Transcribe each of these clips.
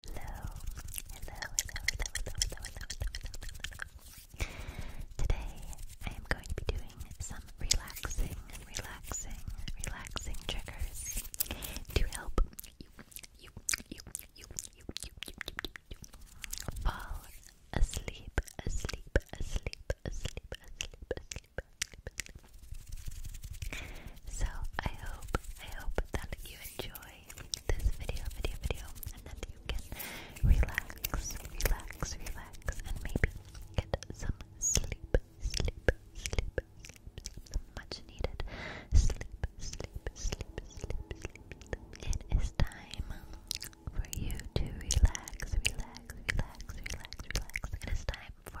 Hello, hello, hello, hello, hello, hello, hello, hello. Today I am going to be doing some relaxing, relaxing, relaxing triggers to help you, you, you, you, you, you, you, you, you fall asleep, asleep, asleep, asleep, asleep, asleep, asleep. So I hope, I hope that you enjoy this video, video, video, and that you can relax, relax, relax, and maybe get some sleep, sleep, sleep, sleep, much needed sleep, sleep, sleep, sleep, sleep. It is time for you to relax, relax, relax, relax, relax. It is time for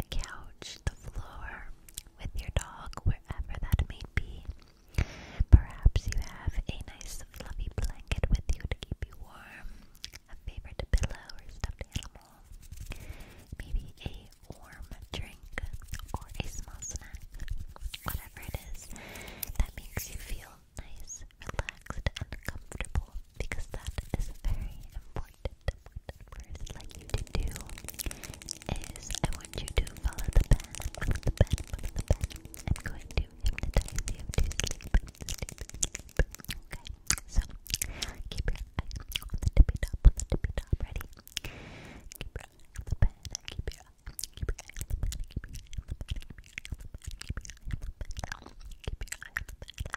a couch, the floor, with your dog, wherever that may be. Perhaps you have a nice fluffy blanket with you to keep you warm, a favorite pillow or stuffed animal, maybe a warm drink or a small snack, whatever it is that makes you feel nice, relaxed, and comfortable because that is very important important, important first like you to do is I want you to follow the pen, follow the pen, follow the pen. I'm going to hypnotize you to sleep, sleep, sleep. Okay, so keep your eye on the tippy top, on the tippy top, ready? Keep your eye on the pen, keep your eye, keep your eye on the pen, keep your eye on the pen, keep your eye on the pen, keep your eye on the pen, keep your eye on the pen,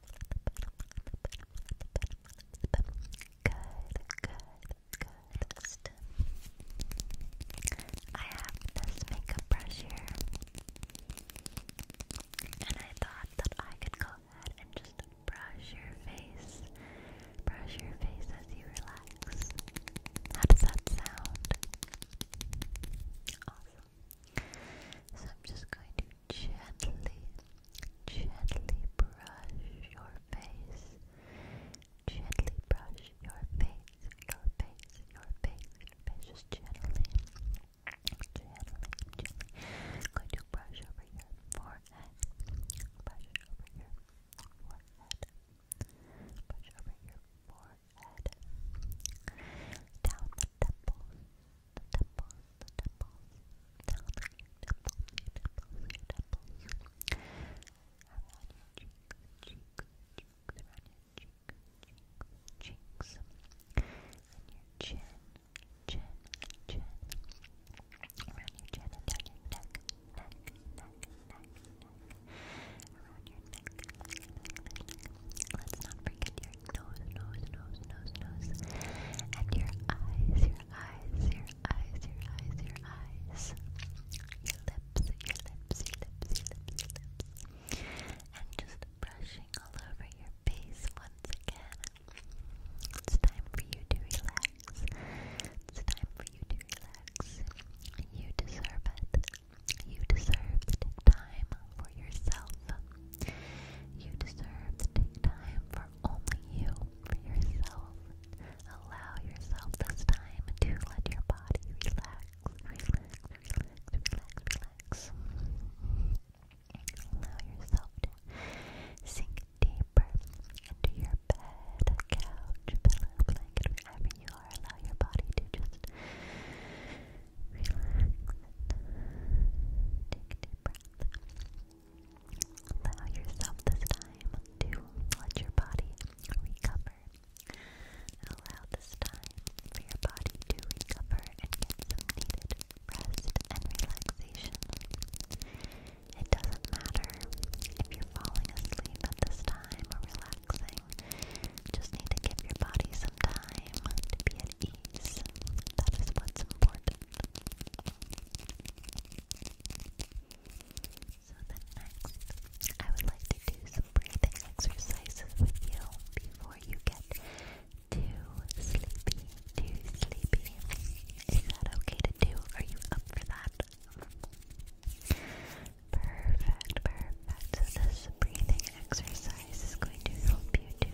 good, good. I have this makeup brush here, and I thought that I could go ahead and just brush your face, brush your face as you relax. How does that sound? Awesome. So I'm just going to gently, gently brush your face. Gently brush your face, your face, your face, your face. Just gently, gently, gently. I'm going to brush over your forehead. Brush over your forehead. Brush over your forehead forehead, down the temples, the temples, the temples, down the temples, your temples, your temples, around your cheeks, cheeks, cheeks, around your cheeks, cheeks, cheeks, and your chin, chin, chin, around your chin down your neck, neck, neck, neck. Let's not forget your nose, nose, nose, nose, nose. And your eyes, your eyes, your eyes, your eyes, your eyes. Your lips, your lips, your lips, your lips, your lips. And just brushing all over your face once again. It's time for you to relax. It's time for you to relax. You deserve it. You deserve to take time for yourself. You deserve to take time for only you, for yourself. Allow yourself this time to let your body relax, relax, relax, relax, Allow yourself to sink deeper into your bed, couch, pillow, blanket, wherever you are, allow your body to just relax. Take a deep breath. Allow yourself this time to let your body recover. Allow this time for your body to recover and get some needed rest and relaxation. It doesn't matter if you're falling asleep at this time or relaxing. Just need to give your body some time to be at ease. That is what's important. So then next, I would like to do some breathing exercises with you before you get too sleepy, too sleepy. Is that okay to do? Are you up for that? Perfect, perfect. So this breathing exercise is going to help you to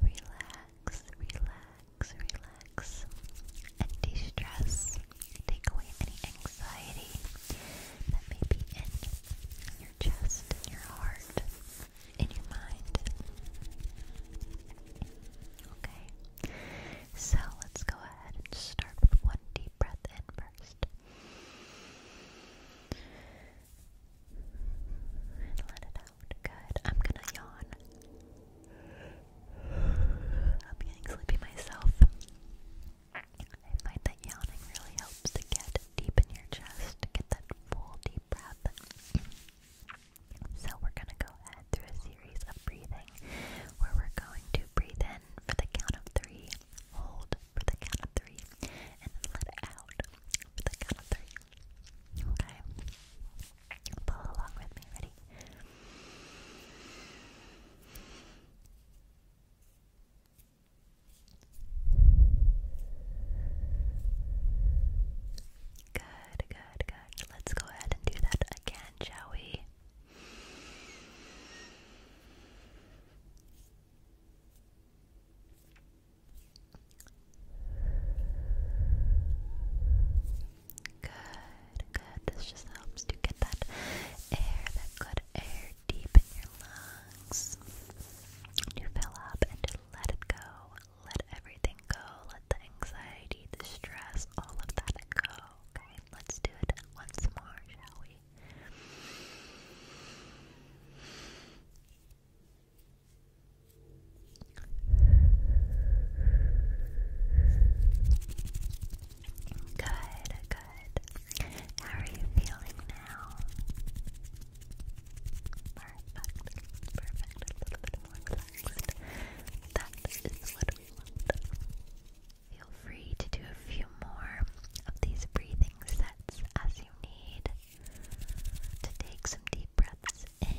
relax, relax, relax, and de-stress. Take away any anxiety that may be in your chest, in your heart, in your mind. Okay. So let's go ahead ahead and start with one deep breath in first. And let it out. Good. I'm gonna yawn. I'm getting sleepy myself. I find that yawning really helps to get deep in your chest, get that full deep breath. So we're gonna go ahead through a series of breathing where we're going to breathe in for the count of three, hold for the count of three, and then let it out for the count of three. Okay? Follow along with me. Ready? Good, good, good. Let's go ahead and do that again, shall we? Good, good. This just helps to get that air, that good air deep in your lungs. To fill up and to let it go. Let everything go. Let the anxiety, the stress, all of that go okay? Let's do it once more, shall we? Good, good. How are you feeling now? Perfect, perfect. A little bit more relaxed. That is what Feel free to do a few more of these breathing sets as you need to take some deep breaths in.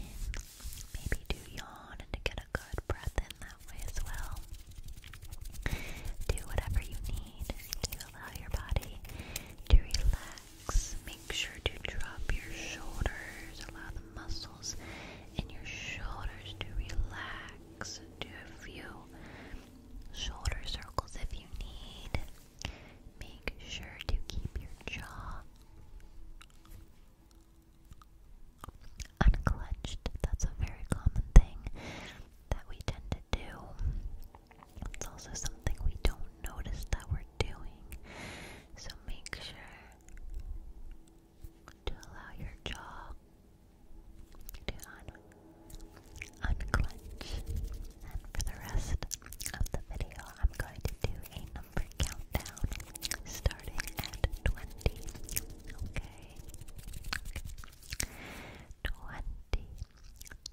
Maybe do yawn and to get a good breath in that way as well. Do whatever you need to allow your body to relax. Make sure to drop your shoulders, allow the muscles and your shoulders to relax. Do a few shoulder circles if you need. Make sure to keep your jaw unclenched. That's a very common thing that we tend to do. It's also something we don't notice that we're doing. So make sure to allow your jaw to un unclench. And for the rest of the video, I'm going to do a number countdown starting at 20. Okay. okay.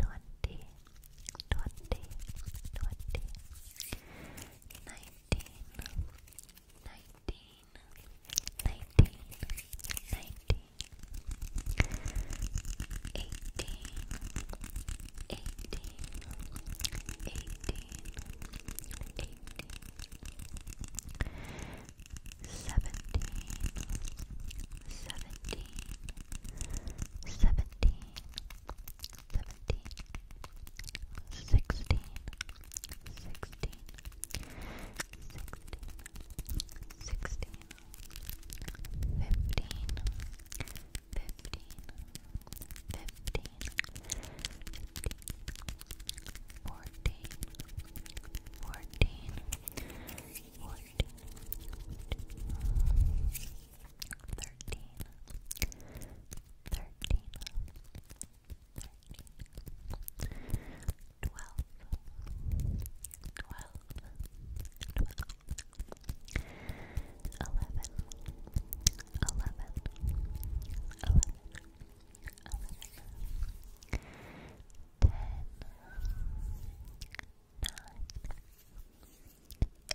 20, nineteen, nineteen, nineteen, nineteen, eighteen, eighteen, eighteen, eighteen, seventeen, seventeen, seventeen. 17 seventeen, sixteen, sixteen, sixteen, sixteen, fifteen, fifteen, fifteen, fifteen, fourteen, fourteen, fourteen, fourteen. 13 12 11 10 9 8 7 6 5 4 3 2 1 thirteen, thirteen, thirteen, twelve, twelve, twelve, eleven, eleven, eleven, eleven, ten, nine. 8